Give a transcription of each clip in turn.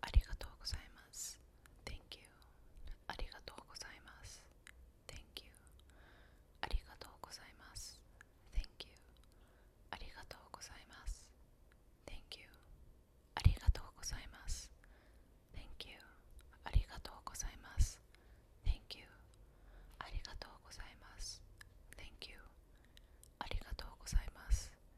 ありがとうございます。Thank you. ありがとうございます。Thank you. ありがとうございます。Thank you. ありがとうございます。Thank you. ありがとうございます。Thank you. ありがとうございます。Thank you. ありがとうございます。Thank you. ありがとうございます。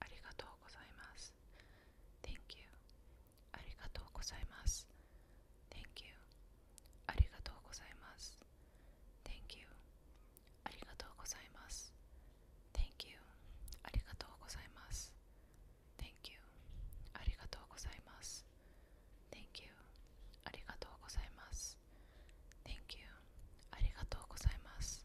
ありがとうございます。Thank you. ありがとうございます。Thank you. ありがとうございます。Thank you. ありがとうございます。Thank you. ありがとうございます。Thank you. ありがとうございます。Thank you. ありがとうございます。Thank you. ありがとうございます。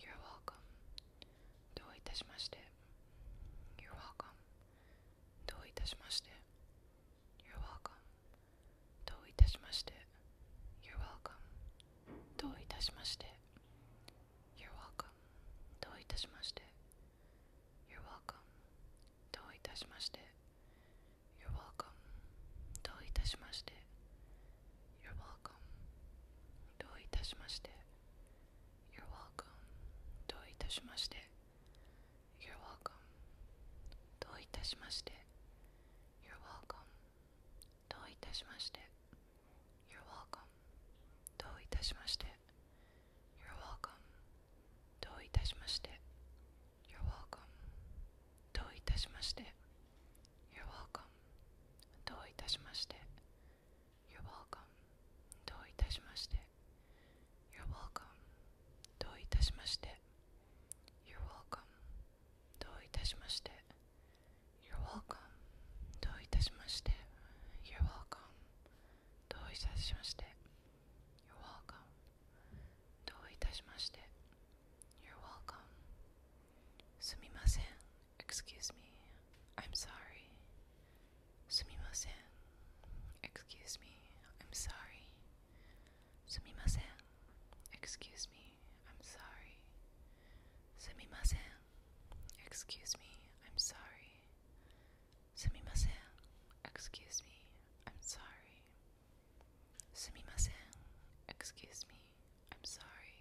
You're welcome. どういたしまして You're welcome. どういたしまして You're welcome. どういたしまして You're welcome. どういたしまして You're welcome. どういたしまして You're welcome. どういたしまして You're welcome. どういたしまして you're welcome. どういたしまして You're welcome. どういたしまして You're welcome. どういたしまして You're welcome. どういたしまして You're welcome. どういたしまして You're welcome. どういたしまして You're welcome. どういたしまして you're welcome. どういたしまして You're welcome. どういたしまして You're welcome. どういたしまして You're welcome. どういたしまして You're welcome. どういたしまして You're you You're welcome. どういたしまして You're you You're welcome. Sumimasen, excuse me. I'm sorry. Sumimasen, excuse me. I'm sorry. Sumimasen, excuse me. I'm sorry. Sumimasen, excuse me. I'm sorry. Sumimasen, excuse me. excuse me. I'm sorry.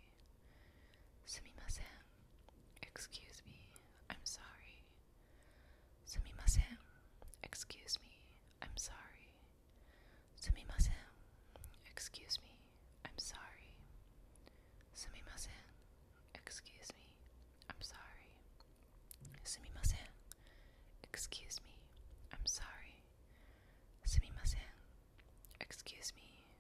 Sumimasen. Excuse me. I'm sorry. Sumimasen. Excuse me. I'm sorry. Sumimasen. Excuse me. I'm sorry. Sumimasen. Excuse me. I'm sorry. Sumimasen. Excuse me.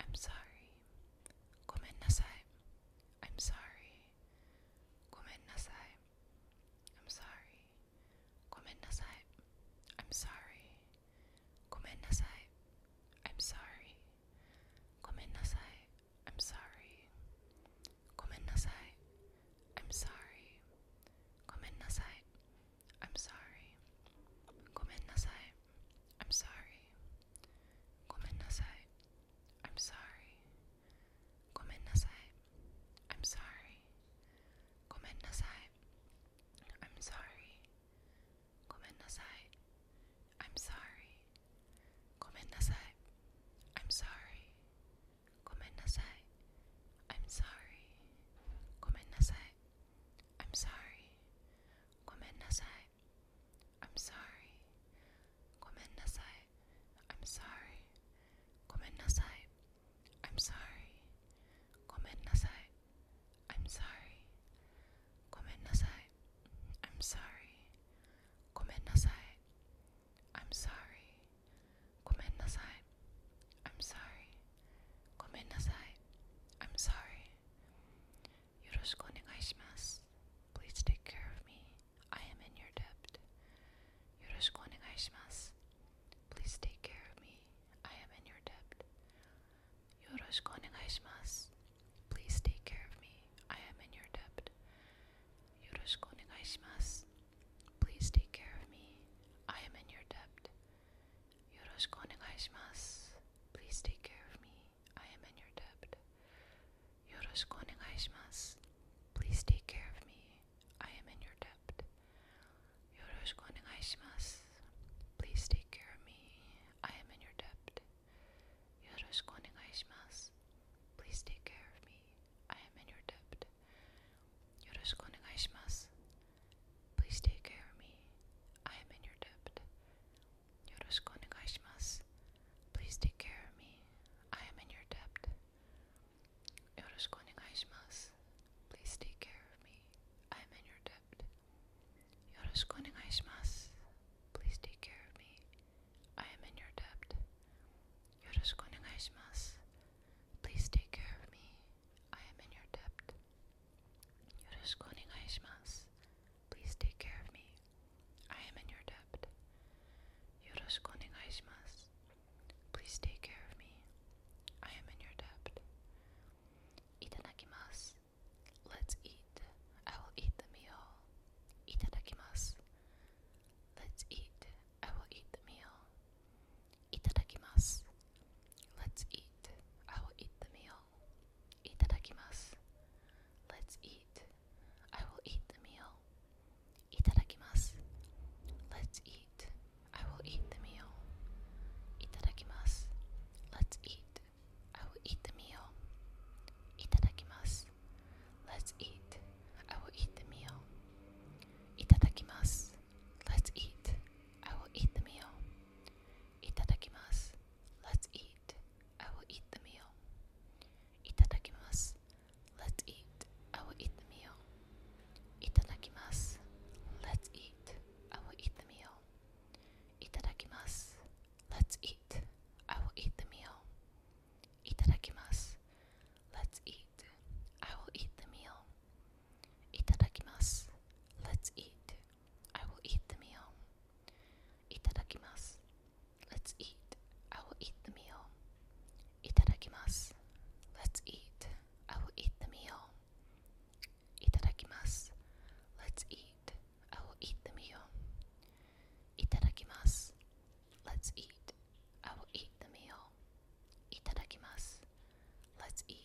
I'm sorry. Gomen nasai. I'm sorry. Gomen nasai. I'm sorry. Gomen nasai. I'm sorry. Gomen nasai. I'm sorry. Gomen nasai. I'm sorry. Gomen nasai. I'm sorry. Gomen nasai. I'm sorry. Gomennasai. I'm sorry. Gomennasai. I'm sorry. Gomennasai. I'm sorry. Gomennasai. I'm sorry. Gomennasai. I'm sorry. Gomennasai. I'm sorry. Gomennasai. i I'm sorry. Gomen nasai. I'm sorry. Gomen nasai. I'm sorry. Gomen nasai. I'm sorry. Gomen nasai. I'm sorry. Gomen nasai. I'm sorry. Gomen nasai. I'm sorry. Yoroshiku Please take care of me. I am in your debt. Please take care of me. I am in your debt. Please take care of me. I am in your debt. Please take care of me. I am in your debt. Please take care of me. I am in your debt. Yoroshiku onegaishimasu. Please take care of me. I am in your debt. Yoroshiku onegaishimasu. Please take care of me. I am in your debt. Yoroshiku onegaishimasu. Please take care of me. I am in your debt. Yoroshiku onegaishimasu. Please take care of me. I am in your debt. よろしくお願いします. Please take care of me. I am in your debt. Yoroshiku Please take care of me. I am in your debt. Yoroshiku Please take care of me. I am in your debt. Yoroshiku Please take care of me. I am in your debt. Yoroshiku Please take care of me. I am in your debt. Yoroshiku onegai Please take care of me. I am in your debt. Itadakimasu. Let's eat. I will eat the meal. Itadakimasu. Let's eat. I will eat the meal. Itadakimasu. Let's eat. I will eat the meal. いただきます Let's eat I will eat the meal いただきます Let's eat I will eat the meal いただきます Let's eat I will eat the meal いただきます Let's eat I will eat the meal いただきます Let's eat I will eat the meal いただきます Let's eat I will eat the meal. Itadakimasu. Let's eat. I will eat the meal. Itadakimasu. Let's eat. I will eat the meal. Itadakimasu. Let's eat. I will eat the meal. Itadakimasu. Let's eat. I will eat the meal. Itadakimasu. Let's eat. I will eat the meal. Itadakimasu. Let's eat. I will eat the meal. Itadakimasu. Let's eat. I will eat the meal. Itadakimasu. Let's eat. I will eat the meal. Itadakimasu. Let's eat. I will eat the meal. Itadakimasu. Let's eat.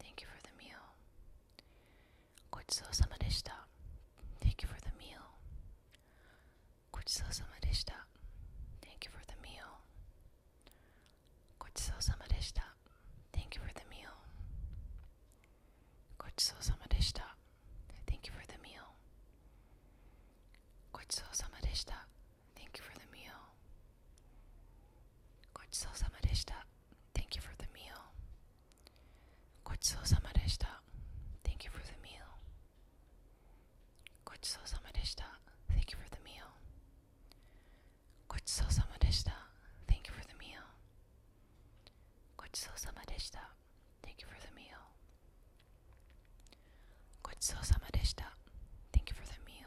Thank you for the meal. Gochisousama deshita. Thank you for the meal. Gochisousama deshita. Thank you for the meal. Gochisousama deshita. Thank you for the meal. Gochisousama deshita. Thank you for the meal. Gochisousama deshita. Thank you for the meal. ごちそうさまでした。Thank you for the meal. ごちそうさまでした。Thank you for the meal. ごちそうさまでした。Thank you for the meal. ごちそうさまでした。Thank you for the meal. ごちそうさまでした。Thank you for the meal. ごちそうさまでした。Thank you for the meal.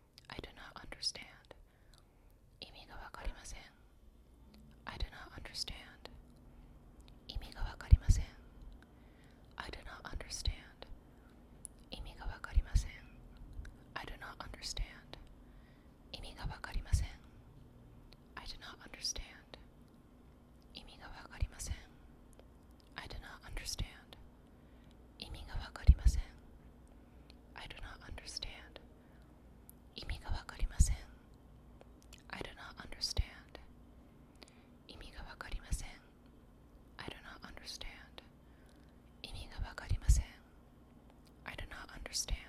I do not understand. 意味がわかりません。I do not understand. 意味がわかりません。I do not understand. 意味がわかりません。I do not understand. 意味がわかりません。I do not understand. 意味がわかりません。I do not understand. 意味がわかりません I do not understand 意味がわかりません I do not understand I do not understand I do not understand I do not understand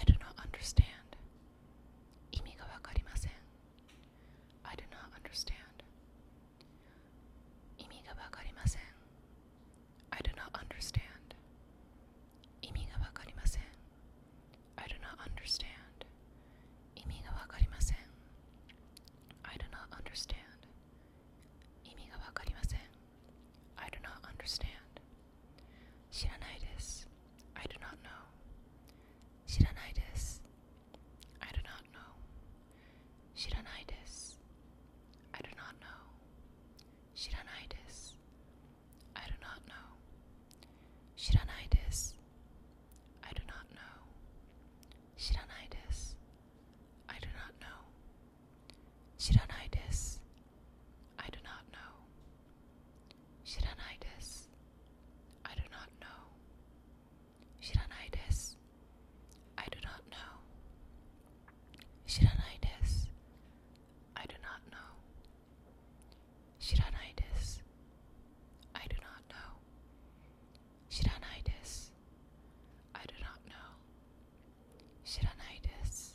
I do not understand 意味がわかりません I do not understand 意味がわかりません I do not understand I do not understand I do not understand I do not understand Shiranai I do not know. Shiranai I do not know. Shiranai I do not know. Shiranai I do not know. Shiranai I do not know. Shiranai I do not know. Shiranitis. I do not know. Shiranitis. I do not know. Shiranitis. I do not know. Shiranitis. I do not know. Shiranitis. I do not know. Shiranitis.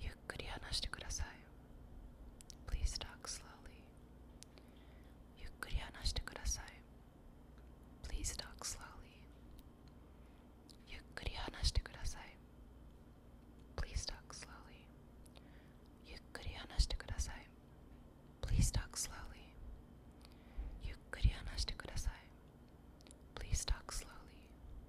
ゆっくり話してください。Please talk slowly. ゆっくり話してください。Please talk slowly. ゆっくり話してください。Please talk slowly. ゆっくり話してください。Please talk slowly. ゆっくり話してください。Please talk slowly. ゆっ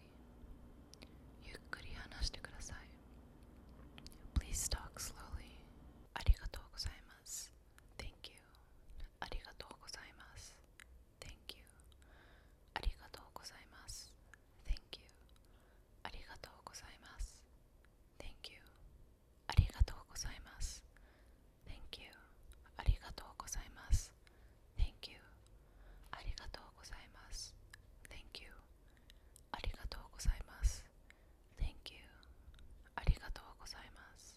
ゆっくり話してください。Please talk slowly. ありがとうございます。Thank you. ありがとうございます。Thank you. ありがとうございます。Thank you. ありがとうございます。Thank you. ありがとうございます。Thank you. ありがとうございます。Thank you ありがとうございます Thank you ありがとうございます Thank you ありがとうございます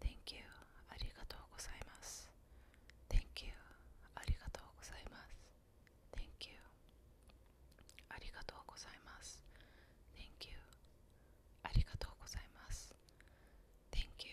Thank you ありがとうございます Thank you ありがとうございます Thank you ありがとうございます Thank you ありがとうございます Thank you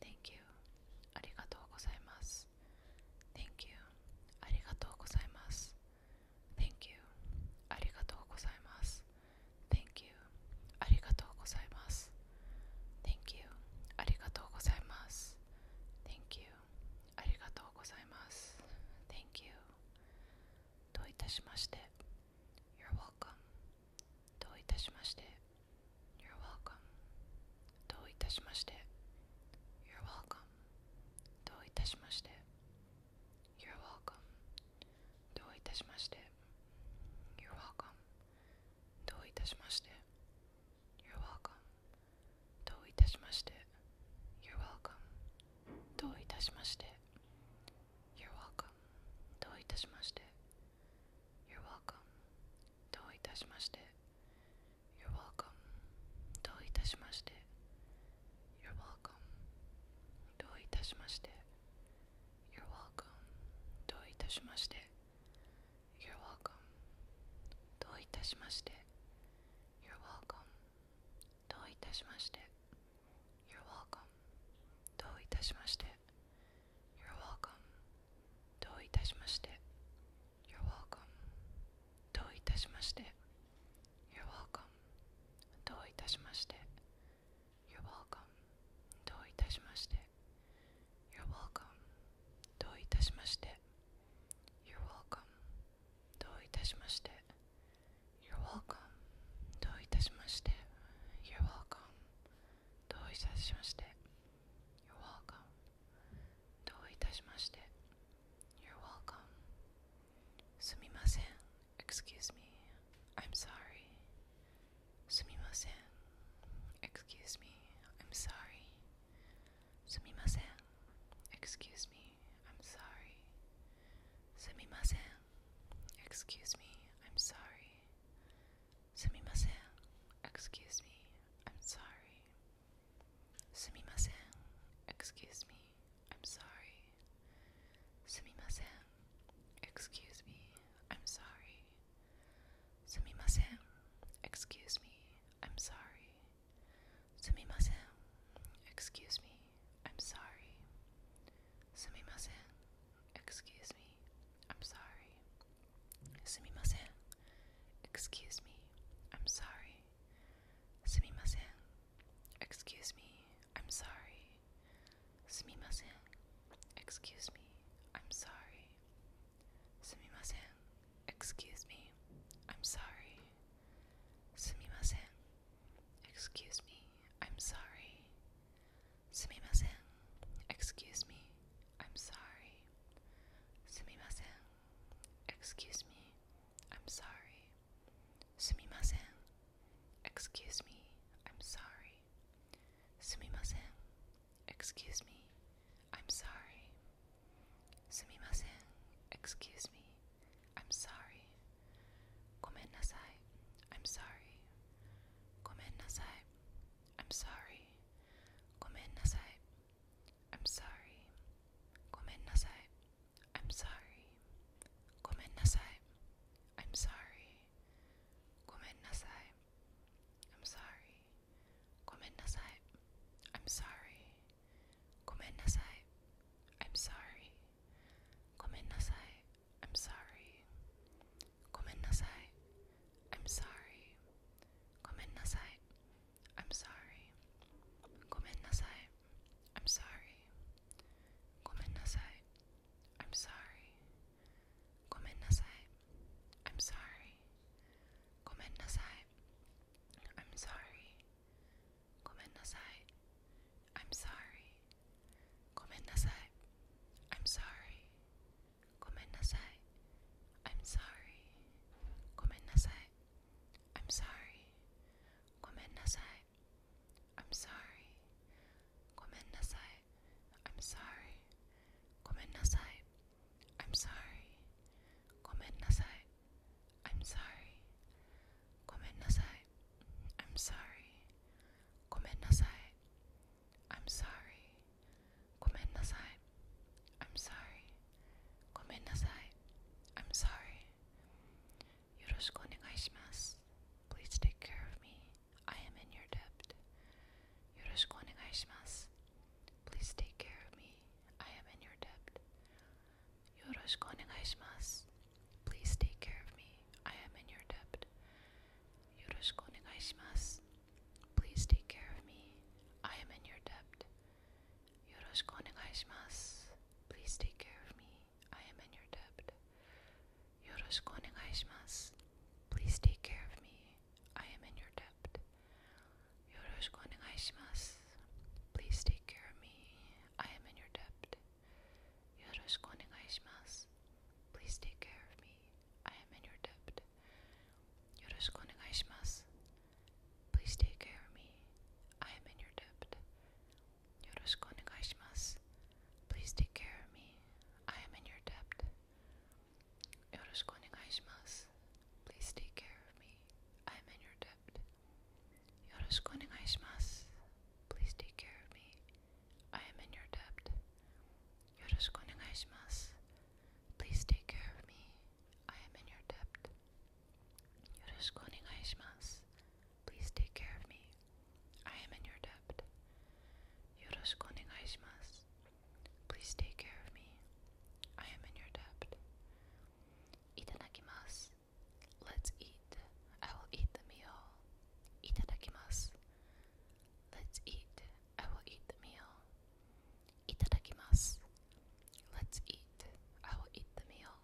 Thank you ありがとうございます Thank you ありがとうございます Thank you ありがとうございます Thank you ありがとうございます Thank you ありがとうございます Thank you ありがとうございます Thank you どういたしまして You're welcome どういたしまして You're welcome. どういたしまして You're welcome. どういたしまして You're welcome. どういたしまして You're welcome. どういたしまして You're welcome. どういたしまして You're welcome. どういたしまして You're welcome. どういたしまして you're welcome. Do itashimashite. You're welcome. Do itashimashite. You're welcome. Do itashimashite. You're welcome. Do itashimashite. You're welcome. Do itashimashite. You're welcome. Do itashimashite. You're welcome. Do itashimashite. you どういたしまして You're welcome どういたしまして You're welcome どういたしまして You're welcome どういたしまして You're welcome どういたしまして You're welcome どういたしまして You're welcome どういたしまして You're welcome どういたしまして You're welcome すみません Excuse me I'm sorry すみません Excuse me I'm sorry すみません Excuse me I'm sorry すみません Excuse me I'm sorry すみません Excuse me I'm sorry. Sumimasen. Excuse me. I'm sorry. Sumimasen. Excuse me. I'm sorry. Sumimasen. Excuse me. I'm sorry. Sumimasen. Excuse me. I'm sorry. Sumimasen. Excuse me. I'm sorry. Sumimasen. Excuse me. I'm sorry. Sumimasen. Excuse me. I'm sorry. Sumimasen. Excuse me. I'm sorry. Sumimasen. Excuse me. I'm sorry. Sumimasen. Excuse me. I'm sorry. Sumimasen. Excuse me. I'm sorry. Sumimasen. Excuse me. I'm sorry. Sumimasen. Excuse me. I'm sorry. Sumimasen. Excuse me. I'm sorry. Sumimasen. Excuse me. I'm sorry. Gomen I'm sorry. Gomen I'm sorry. Gomen I'm sorry. Gomen nasai. I'm sorry. Gomen nasai. I'm sorry. Gomen nasai. I'm sorry. Gomen nasai. I'm sorry. Gomen nasai. I'm sorry. Gomen nasai. I'm sorry. Gomen nasai. I'm sorry. Gomen nasai. I'm sorry. Gomen nasai. I'm sorry. Gomen nasai. I'm sorry. Gomen nasai. I'm sorry. Gomen nasai. I'm sorry. Komennasai. I'm sorry. Komennasai. I'm sorry. Komennasai. I'm sorry. Komennasai. I'm sorry. Komennasai. I'm sorry. Komennasai. I'm sorry. Komennasai. I'm sorry. Gomen I'm sorry. Gomen I'm sorry. Yoroshiku Please take care of me. I am in your debt. Yoroshiku Please take care of me. I am in your debt. Yoroshiku Please take care of me. I am in your debt. Yoroshiku Please take care of me. I am in your debt. Yoroshiku onegaishimasu. Please take care of me. I am in your debt. Yoroshiku onegaishimasu. Please take care of me. I am in your debt. Yoroshiku onegaishimasu. Please take care of me. I am in your debt. Yoroshiku onegaishimasu. Please take care of me. I am in your debt. よろしくお願いします. Please take care of me. I am in your debt. Yoroshiku Please take care of me. I am in your debt. Yoroshiku Please take care of me. I am in your debt. Yoroshiku Please take care of me. I am in your debt. Yoroshiku Please take care of me. I am in your debt. Yoroshiku onegai Please take care of me. I am in your debt. Yoroshiku onegai Please take care of me. I am in your debt. Itadakimasu. Let's eat. I will eat the meal. Itadakimasu. Let's eat. I will eat the meal. Itadakimasu. Let's eat. I will eat the meal.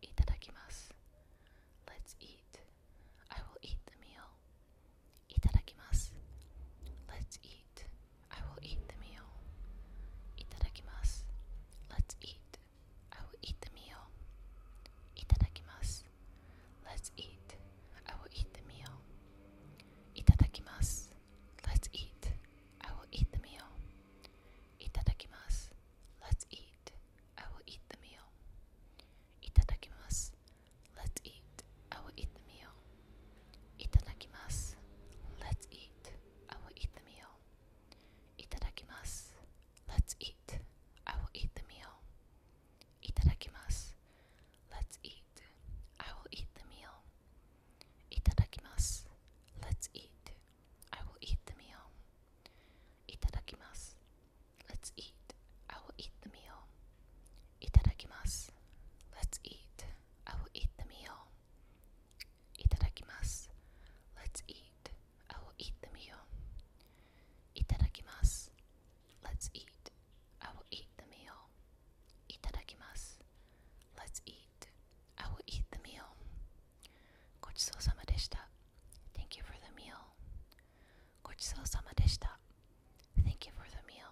Itadakimasu. Let's eat. I will eat the meal. Itadakimasu. Let's eat. I will eat the meal. Itadakimasu. Let's eat. I will eat the meal. Itadakimasu. Let's eat. I will eat the meal. Itadakimasu. Let's eat. I will eat the meal. Itadakimasu. Let's eat. I will eat the meal. Itadakimasu. Let's eat. I will eat the meal. Itadakimasu. Let's eat. I will eat the meal. Itadakimasu. Let's eat. I will eat the meal. Itadakimasu. Let's eat. I will eat the meal. Itadakimasu. Let's eat. I will eat the meal. Itadakimasu. Let's eat. I will eat the meal. Itadakimasu. Let's eat. I will eat the meal. Itadakimasu. Let's eat. I will eat the meal. Itadakimasu. Let's eat. I will eat the meal. Itadakimasu. Let's eat. I will eat the meal. Gochou Thank you for the meal. Gochou Thank you for the meal.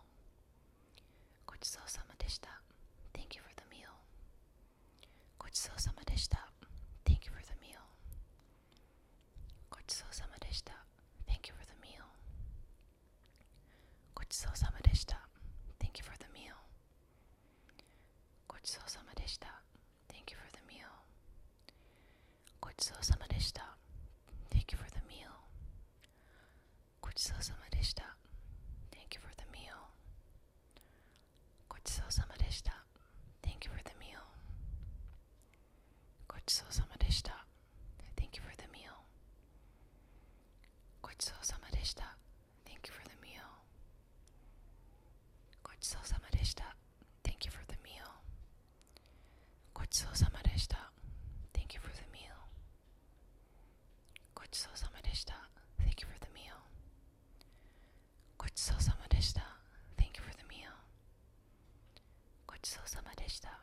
Gochou Thank you for the meal. Gochou Thank you for the meal. Gochou Thank you for the meal. ごちそうさまでした。Thank you for the meal. ごちそうさまでした。Thank you for the meal. ごちそうさまでした。Thank you for the meal. ごちそうさまでした。Thank you for you for the meal. ごちそうさまでした。Thank you for the meal. ごちそうさまでした Thank you for the meal. ごちそうさまでした Thank you for the meal. ごちそうさまでした Thank you for the meal. ごちそうさまでした Thank you for the meal. ごちそうさまでした Thank ごちそうさまでした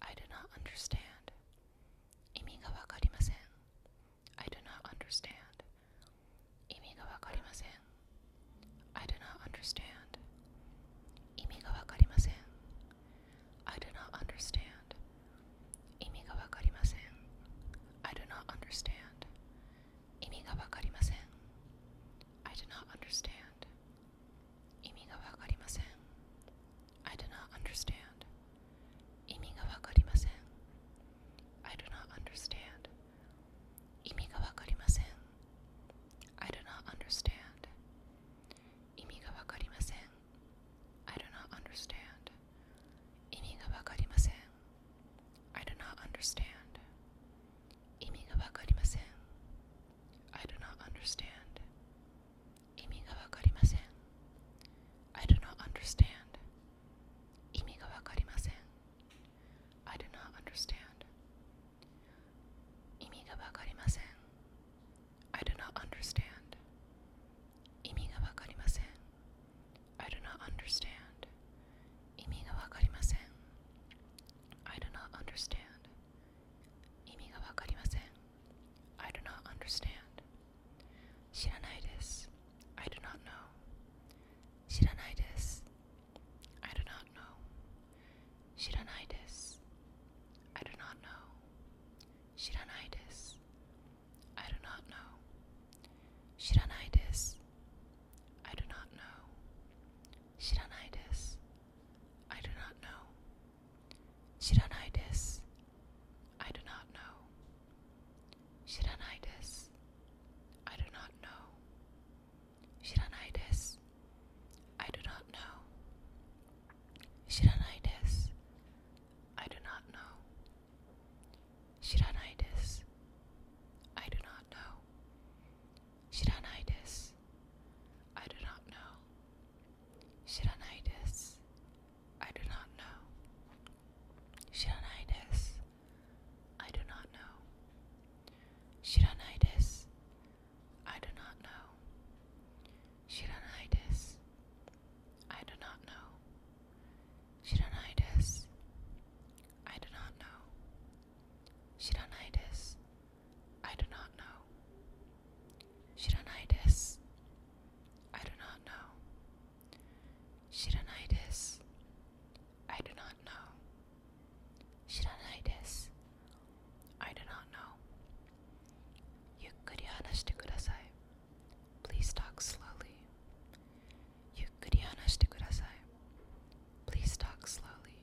I do not understand. I do not understand. I do not understand. I do not understand. I do not understand. I do not understand. I do not understand. 意味がわかりません。I do not understand. 意味がわかりません。I do not understand. 意味がわかりません。I do not understand. 意味がわかりません。I do not understand. 意味がわかりません。I do not understand. Imi ga wakarimasen. I do not understand. I do not understand. I do not understand. I do not understand. I do not understand. 意味がわかりません。I do not understand. 知らないです。I do not know. 知らないです。I do not know. 知らないです。I do not know. 知らないです。I do not know. 知らないです。I do not know. 知らないです。I do not know. Shiranai desu. I do not know. Shiranai desu. I do not know. Shiranai desu. I do not know. Shiranai desu. I do not know. Shiranai desu. I do not know. Shiranai I do not know. Shiranai I do not know. Shiranai I do not know. Shiranai I do not know. Shiranai I do not know. Shiranai I do not know. Shiranai I do not know. Shiranaides. I do not know. Shiranaides. I do not know. Shiranaides. I do not know. Yukkuri hanashite kudasai. Please talk slowly. Please talk slowly.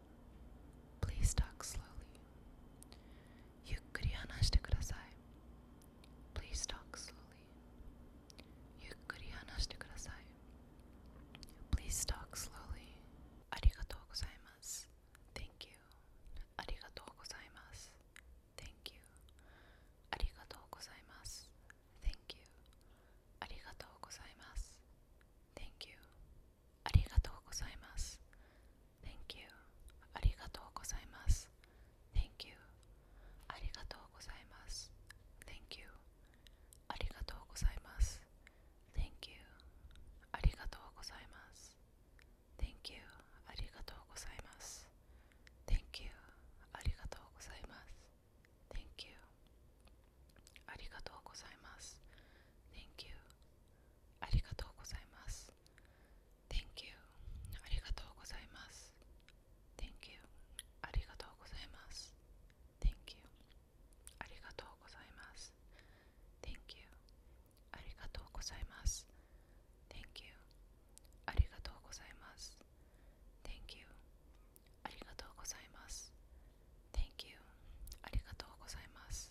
Please talk slowly. ゆっくり話してください。Please talk slowly. ゆっくり話してください。Please talk slowly. ありがとうございます。Thank you. ありがとうございます。Thank you. ありがとうございます。Thank you. ありがとうございます。Thank you. ありがとうございます。Thank you. ありがとうございます。Thank you. ありがとうございます。Thank you. ありがとうございます。Thank you. ありがとうございます。Thank you. ありがとうございます。Thank you. ありがとうございます。Thank you. ありがとうございます。Thank you. ありがとうございます。Thank you. ありがとうございます。Thank you. ありがとうございます。Thank you. ありがとうございます。Thank you. ありがとうございます。Thank you. ありがとうございます。Thank you. ありがとうございます。Thank you. ありがとうございます。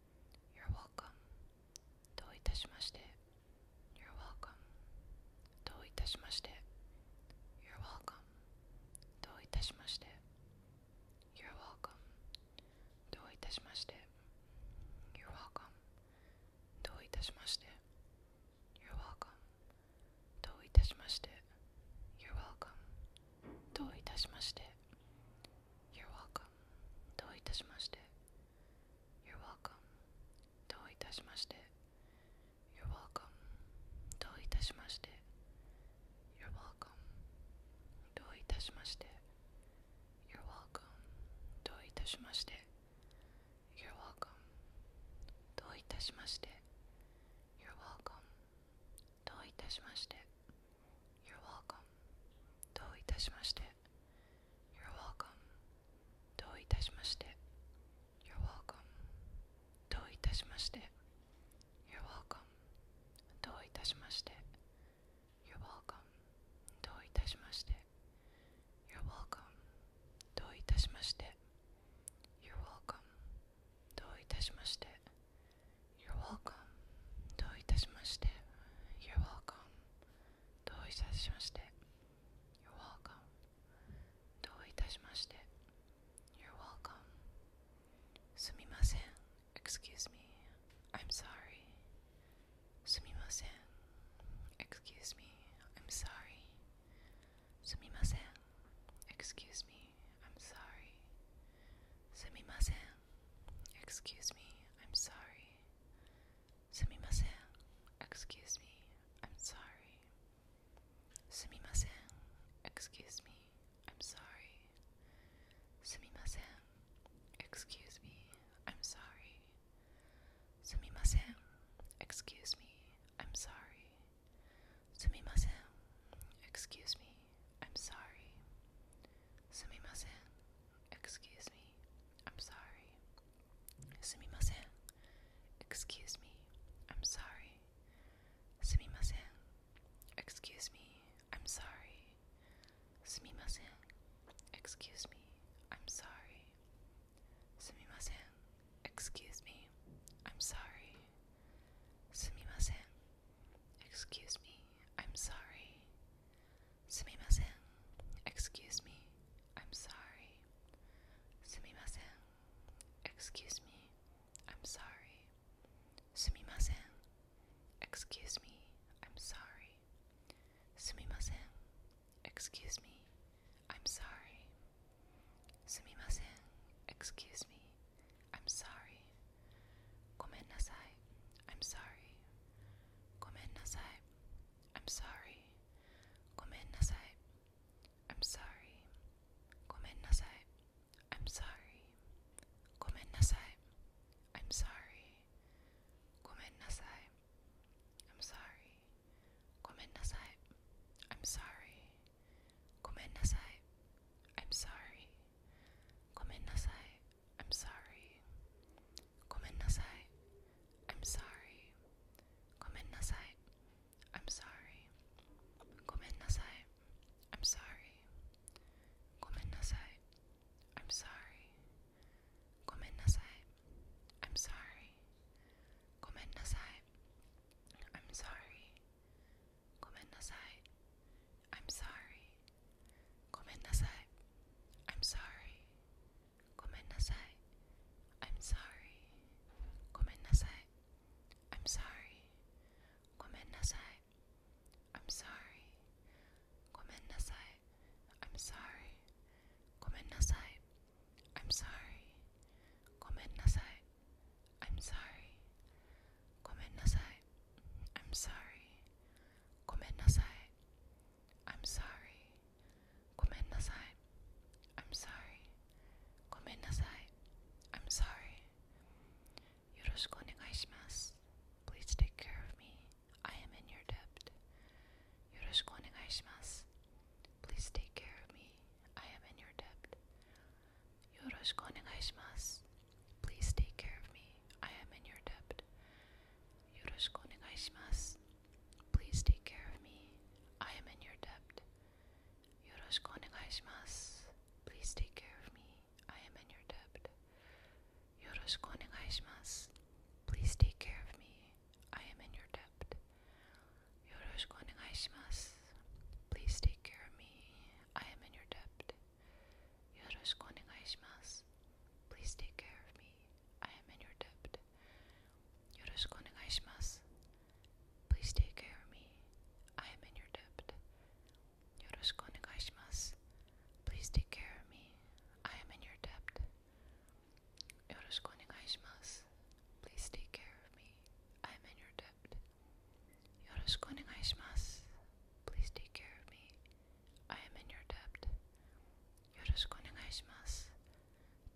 You're welcome. どういたしまして You're welcome. どういたしまして You're welcome. どういたしまして You're welcome. どういたしまして You're welcome. どういたしまして You're welcome. どういたしまして You're どういたしまして You're welcome. どういたしまして。You're welcome. どういたしまして。You're welcome. どういたしまして。You're welcome. どういたしまして。You're welcome. どういたしまして。You're welcome. どういたしまして。You're welcome. どういたしまして。You're welcome. どういたしまして You're welcome. どういたしまして You're welcome. どういたしまして You're welcome. どういたしまして You're welcome. どういたしまして You're welcome. どういたしまして You're welcome. どういたしまして you're welcome. どういたしまして You're welcome. どういたしまして You're welcome. どういたしまして You're welcome. すみません Excuse me. I'm sorry. すみません Excuse me. I'm sorry. すみません Excuse me. I'm sorry. Sumimasen. Excuse me, I'm sorry. Sumimasen. Excuse me, I'm sorry. Sumimasen. Excuse me, I'm sorry. Sumimasen. Excuse me, I'm sorry. Sumimasen. Excuse me, I'm sorry. Excuse me. I'm sorry. Excuse me. I'm sorry. Excuse me. I'm sorry. Excuse me. I'm sorry. Excuse me. I'm sorry. Sumimasen. Excuse me. I'm sorry. Sumimasen. Excuse me. I'm sorry. Sumimasen. Excuse me. I'm sorry. Sumimasen. Excuse me. I'm sorry. Sumimasen. Excuse me. I'm sorry. Gomen nasai. I'm sorry. Gomen nasai. I'm sorry. Gomen nasai. I'm sorry. Gomen nasai. I'm sorry. Gomen nasai. I'm sorry. Gomen nasai. I'm sorry. Gomen nasai. I'm sorry. Gomen nasai. I'm sorry. Gomen nasai. I'm sorry. Gomen nasai. I'm sorry. I'm sorry. I'm sorry. I'm sorry. I'm sorry. I'm sorry. nasai. I'm sorry. Gomen nasai. I'm sorry. Gomen nasai. I'm sorry. Gomen nasai. I'm sorry. Gomen nasai. I'm sorry. Gomen nasai. I'm sorry. Gomen nasai. I'm sorry. Gomen nasai. I'm sorry. Komennasai. I'm sorry. I'm sorry. I'm sorry. I'm sorry. Yoroshiku onegaishimasu. Please take care of me. I am in your debt. Please take care of me. I am in your debt. Yoroshiku onegaishimasu. Please take care of me. I am in your debt. Yoroshiku onegaishimasu. Please take care of me. I am in your debt. Yoroshiku onegaishimasu. Please take care of me. I am in your debt. Yoroshiku onegaishimasu. Please take care of me. I am in your debt. Yoroshiku onegaishimasu. Please take care of me. I am in your debt. Yoroshiku onegaishimasu. Please take care of me. I am in your debt. Yoroshiku onegaishimasu. Please take care of me. I am in your debt. Yoroshiku onegaishimasu. Please take care of me. I am in your debt. Yoroshiku onegaishimasu. Please take care of me. I am in your debt. Yoroshiku Please take care of me. I am in your debt.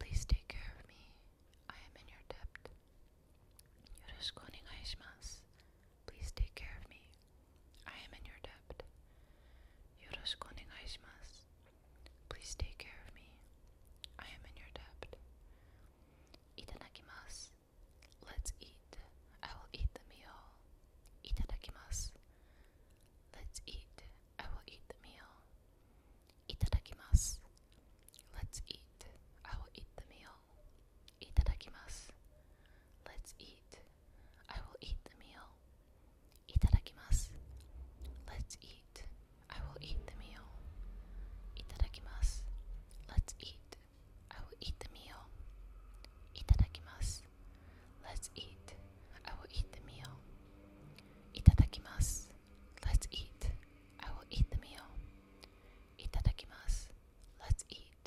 Please take care of me. I am in your debt. Please take care of me. I am in your debt. Please take care of me. I am in your debt. Itadakimasu. Let's eat. I will eat the meal. Itadakimasu. Let's eat. I will eat the meal. Itadakimasu. Let's eat. I will eat the meal. Itadakimasu. Let's eat. I will eat the meal. Itadakimasu. Let's eat. I will eat the meal. Itadakimasu. Let's eat. I will eat the meal. Itadakimasu. Let's eat. I will eat the meal. Itadakimasu. Let's eat. I will eat the meal. Itadakimasu. Let's eat.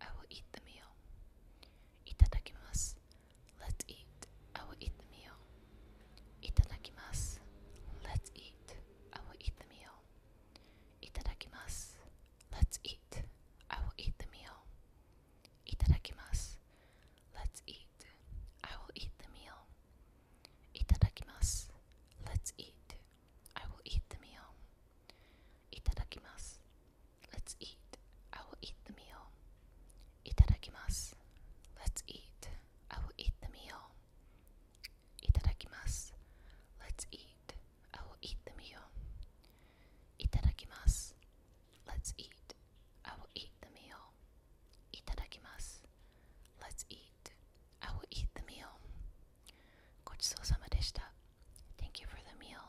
I will eat the meal. Itadakimasu. Let's eat. I will eat the meal. Itadakimasu. Let's eat. I will eat the meal. Itadakimasu. Let's eat. I will eat the meal. Itadakimasu. Let's eat. I will eat the meal. Itadakimasu. Let's eat. I will eat the meal. Itadakimasu. Let's eat. I will eat the meal. Itadakimasu. Let's eat. I oh, will eat the meal. Itadakimasu. Let's eat. I will eat the meal. Itadakimasu. Let's eat. I will eat the meal. Gochou deshita. Thank you for the meal.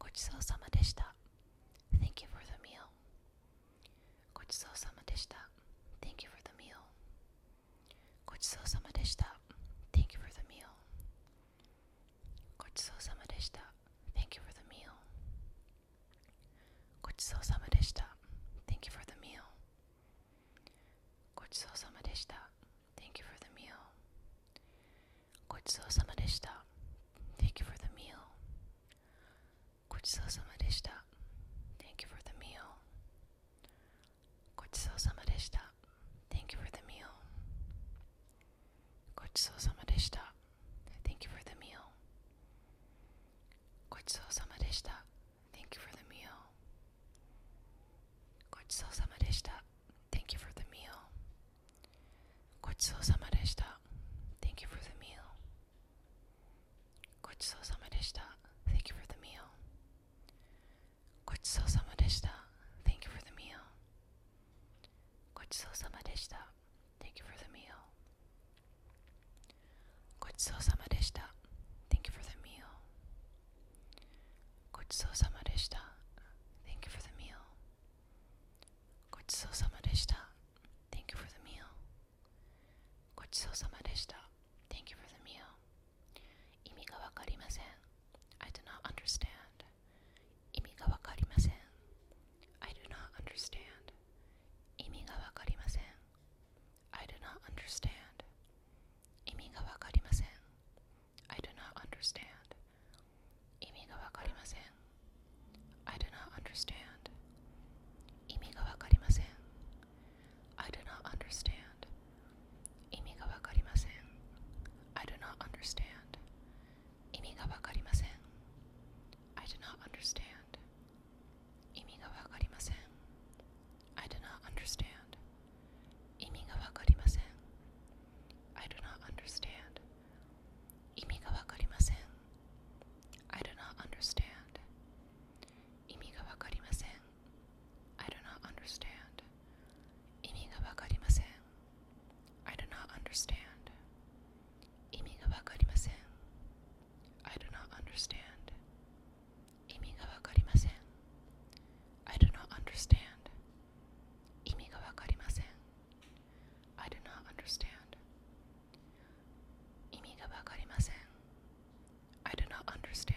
Gochou deshita. Thank you for the meal. Gochou deshita. Thank you for the meal. ごちそうさまでした Thank you for the meal ごちそうさまでした Thank you for the meal ごちそうさまでした Thank you for the meal ごちそうさまでした Thank you for the meal ごちそうさまでした Thank you Thank you for the meal ごちそうさまでした Thank you for the meal ごちそうさまでした Thank you for the meal ごちそうさまでした Thank you for the meal ごちそうさまでした Thank you for the meal ごちそうさまでした Thank you Thank you for the meal ごちそうさまでした Thank you for the meal ごちそうさまでした Thank you for the meal ごちそうさまでした Thank you for the meal ごちそうさまでした Thank you for the meal ごちそうさまでした Thank Thank you for the meal 意味がわかりません I do not understand 意味がわかりません I do not understand I do not understand I do not understand I do not understand I do not understand 意味がわかりません I do not understand 意味がわかりません I do not understand I do not understand I do not understand I do not understand I do not understand. 意味がわかりません。I do not understand. 意味がわかりません。I do not understand. 意味がわかりません。I do not understand. 意味がわかりません。I do not understand. 意味がわかりません。I do not understand.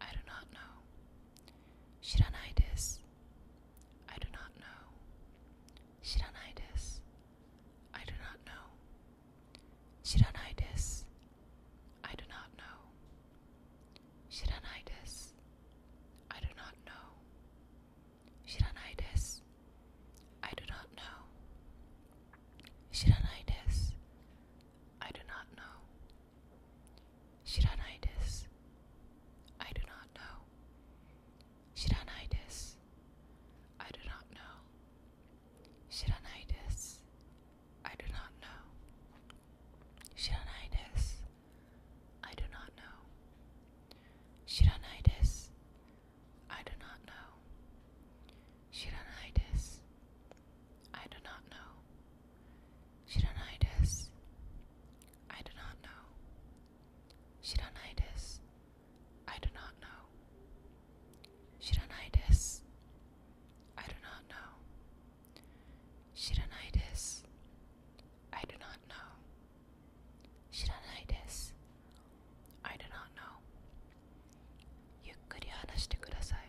I do not know. Shiranai desu. I do not know. Shiranai desu. I do not know. Shiranai desu. I do not know. Shiranai desu. I do not know. Shiranai desu. I do not know. Shiranai desu. I do not know. Shiranai desu. I do not know. Shiranai desu. I do not know. Shiranai desu. I do not know. Shiranai desu. I do not know. Shiranai desu. I do not know. Shiranai desu. I do not know. Shiranitis. I do not know. Shiranitis. I do not know. Shiranitis. I do not know. Shiranitis. I do not know. Shiranitis. I do not know. Yukkuri hanashite kudasai.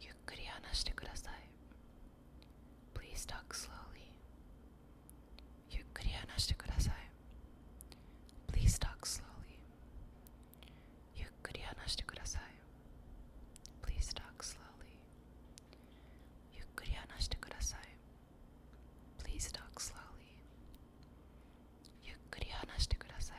ゆっくり話してください Please talk slowly ゆっくり話してください Please talk slowly ゆっくり話してください Please talk slowly ゆっくり話してください Please talk slowly ゆっくり話してください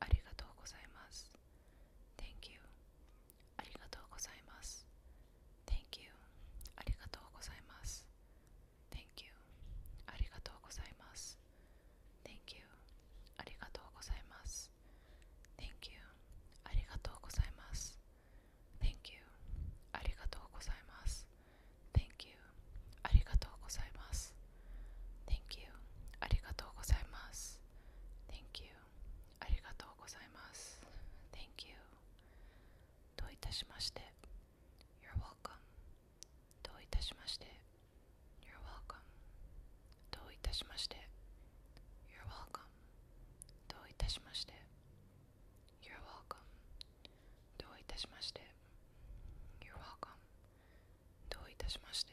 ありがとうございます。Thank you. ありがとうございます。Thank you. ありがとうございます。Thank you. ありがとうございます。Thank you. ありがとうございます。Thank you. ありがとうございます。Thank you. ありがとうございます。Thank you. ありがとうございます。thank you。ありがとうございます。Thank you. ありがとうございます。Thank you. ありがとうございます。Thank you. どういたしまして。You're welcome. どういたしまして。You're welcome. どういたしまして。You're welcome. どういたしまして。You're welcome. どういたしまして。You're welcome. どういたしまして。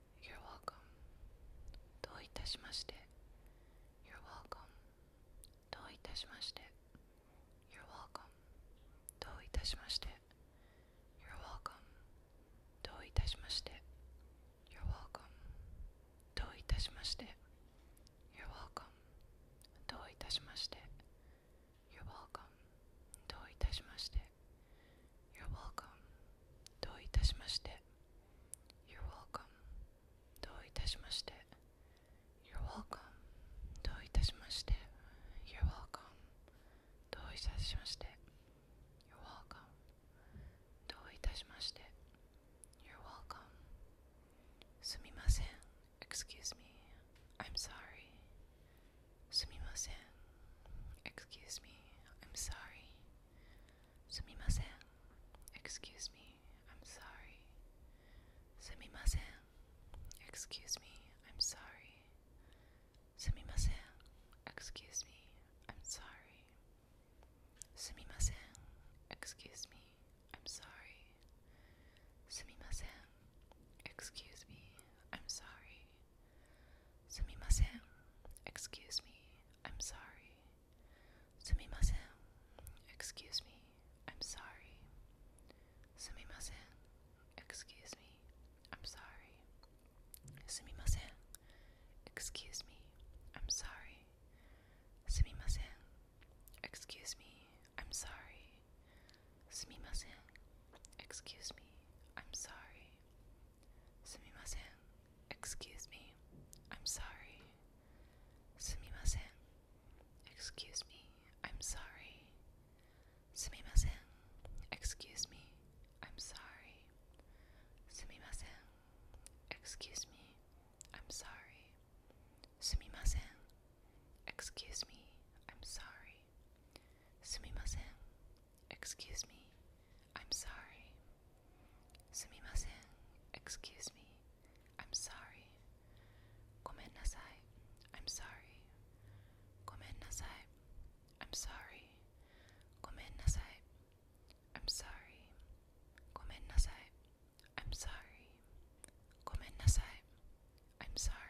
You're welcome. どういたしまして。You're welcome. どういたしまして。You're welcome. どういたしまして。You're welcome. どういたしまして。You're welcome. どういたしまして。You're welcome. どういたしまして。You're welcome. どういたしまして。you're welcome. どういたしまして You're welcome. どういたしまして You're welcome. どういたしまして You're welcome. どういたしまして You're welcome. すみません Excuse me. I'm sorry. すみません Excuse me. I'm sorry. Sumimasen. Excuse me. I'm sorry. Sumimasen. Excuse me. I'm sorry. Sumimasen. Excuse me. I'm sorry. Sumimasen. Excuse me. I'm sorry. Sumimasen. Excuse me. I'm sorry. Sumimasen. Excuse me. I'm sorry. Sumimasen. Excuse me. I'm sorry. Sumimasen. Excuse me. I'm sorry. Sumimasen. Excuse me. I'm sorry. Sumimasen. Excuse me. I'm sorry. Sumimasen. Excuse me. I'm sorry. Sumimasen. Excuse me. I'm sorry. Sumimasen. me. I'm sorry. Sumimasen. me. I'm sorry. Sumimasen. me. I'm sorry. Sumimasen. Excuse me. I'm sorry. Sumimasen. Excuse me. I'm sorry. Gomen nasai. I'm sorry. Gomen nasai. I'm sorry. Gomen nasai. I'm sorry. Gomen nasai. I'm sorry. Gomen nasai. i I'm sorry.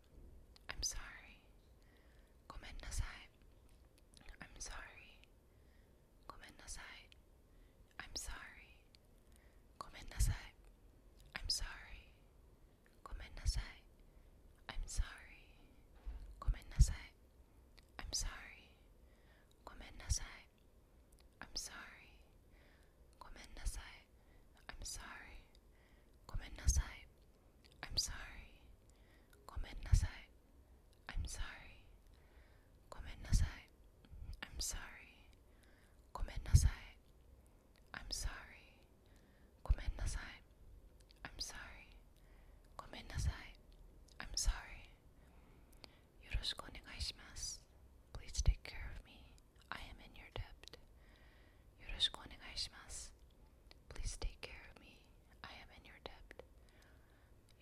I'm sorry. Gomen nasai. I'm sorry. Gomen nasai. I'm sorry. Gomen nasai. I'm sorry. Gomen nasai. I'm sorry. Gomen nasai. I'm sorry. Gomen nasai. I'm sorry. Gomen nasai. I'm sorry. Gomen nasai. I'm sorry. Gomen nasai. I'm sorry. Gomen nasai. I'm sorry. Gomen nasai. I'm sorry. Gomen nasai. I'm sorry. Yoroshiku onegai shimasu. Please take care of me. I am in your debt. Yoroshiku onegai shimasu. Please take care of me. I am in your debt.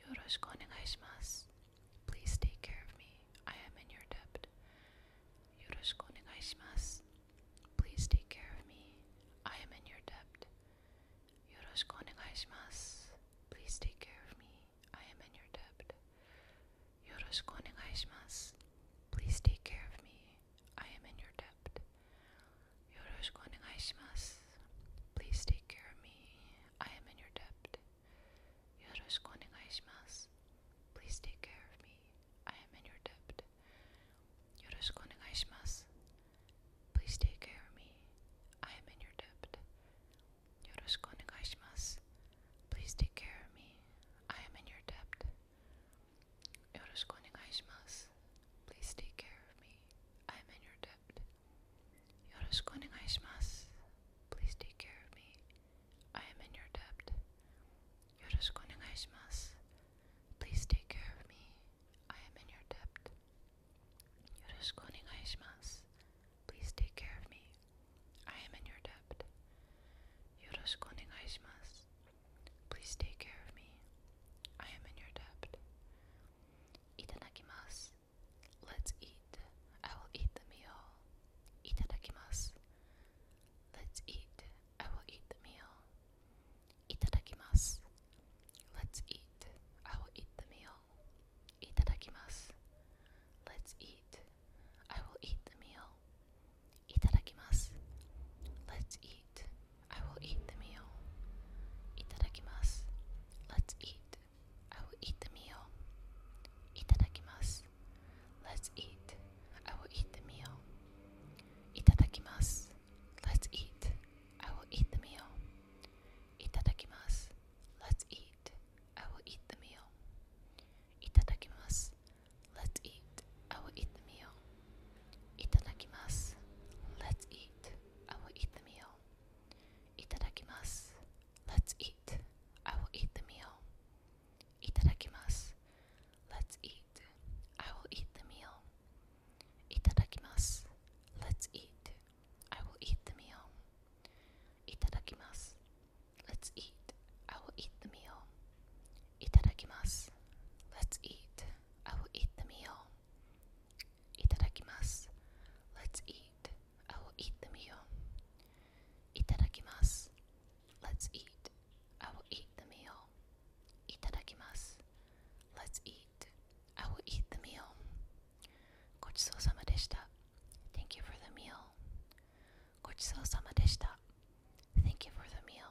Yoroshiku onegaishimasu. Please take care of me. I am in your debt. Yoroshiku onegaishimasu. Please take care of me. I am in your debt. Yoroshiku onegaishimasu. Please take care of me. I am in your debt. Yoroshiku onegaishimasu. Please take care of me. I am in your debt. Yoroshiku onegaishimasu. Please take care of me. I am in your debt. Yoroshiku onegaishimasu. Please take care of me. I am in your debt. Yoroshiku onegaishimasu. Please take care of me. I am in your debt. Yoroshiku onegaishimasu. Please take care of me. I am in your debt. よろしくお願いします。Please take care of me. I'm in your debt. よろしくお願いします。Please take care of me. I am in your debt. よろしくお願いします。Please take care of me. I am in your debt. よろしくお願いします。Please take care of me. I am in your debt. よろしくお願いします。Please take care of me. I am in your debt. Itadakimasu. Let's eat. I will eat the meal. Itadakimasu. Let's eat. I will eat the meal. Itadakimasu. Let's eat. I will eat the meal. Itadakimasu. Let's eat. I will eat the meal. Itadakimasu. Let's eat. I will eat the meal. Let's eat. I will eat the meal. Let's eat. I will eat the meal. Let's eat. I will eat the meal. Let's eat. I will eat the meal. Itadakimasu. Let's eat. I will eat the meal. Itadakimasu. Let's eat. I will eat the meal. Itadakimasu. Let's eat. I will eat the meal. Itadakimasu. Let's eat. I will eat the meal. Itadakimasu. Let's eat. I will eat the meal. Itadakimasu. Let's eat. I will eat the meal. Itadakimasu. Let's eat. I will eat the meal. Itadakimasu. Let's eat. I will eat the meal. Itadakimasu. Let's eat. I will eat the meal. Gochou sama Thank you for the meal. Gochou sama Thank you for the meal.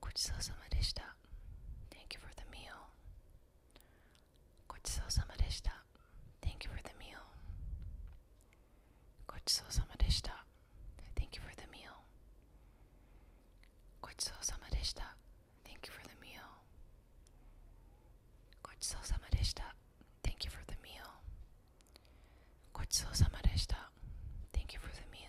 ごちそうさまでした。Thank you for the meal. ごちそうさまでした。Thank you for the meal. ごちそうさまでした。Thank you for the meal. ごちそうさまでした。Thank you for the meal. ごちそうさまでした。Thank you for you for the meal.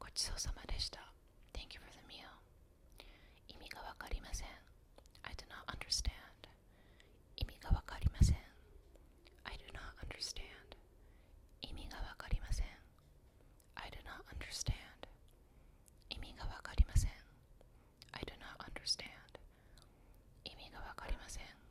ごちそうさまでした。Thank you for the meal. 意味がわかりません。I do not understand. 意味がわかりません。I do not understand. 意味がわかりません。I do not understand. 意味がわかりません。I do not understand. 意味がわかりません。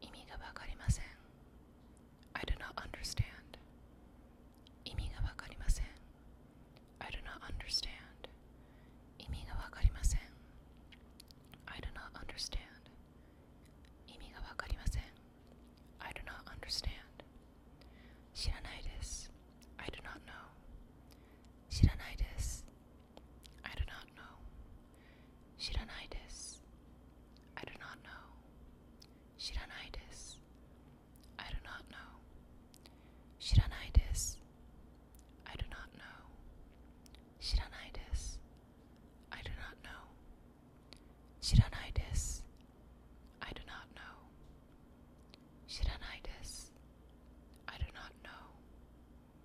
意味がわかりません I do not understand 意味がわかりません I do not understand I do not understand I do not understand 知らないです I do not know I do not know. Shiranitis. I do not know. Shiranitis. I do not know. Shiranitis. I do not know. Shiranitis. I do not know. Shiranitis. I do not know. Shiranitis. I do not know.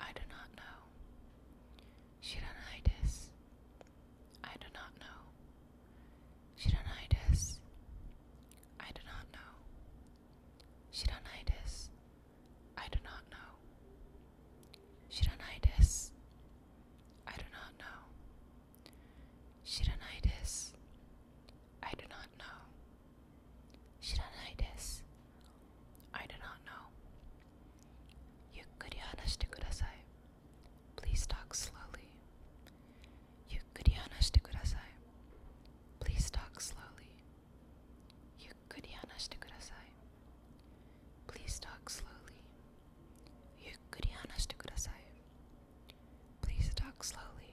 I do not know. Shiranides. I do not know. Shiranides. I do not know. Shiranides. I do not know. Shiranides. I do not know. Shiranides. I do not know. Shiranaides. I do not know. Yukkuri hanashite kudasai. Please talk slowly. Please talk slowly. Please talk slowly. Please talk slowly.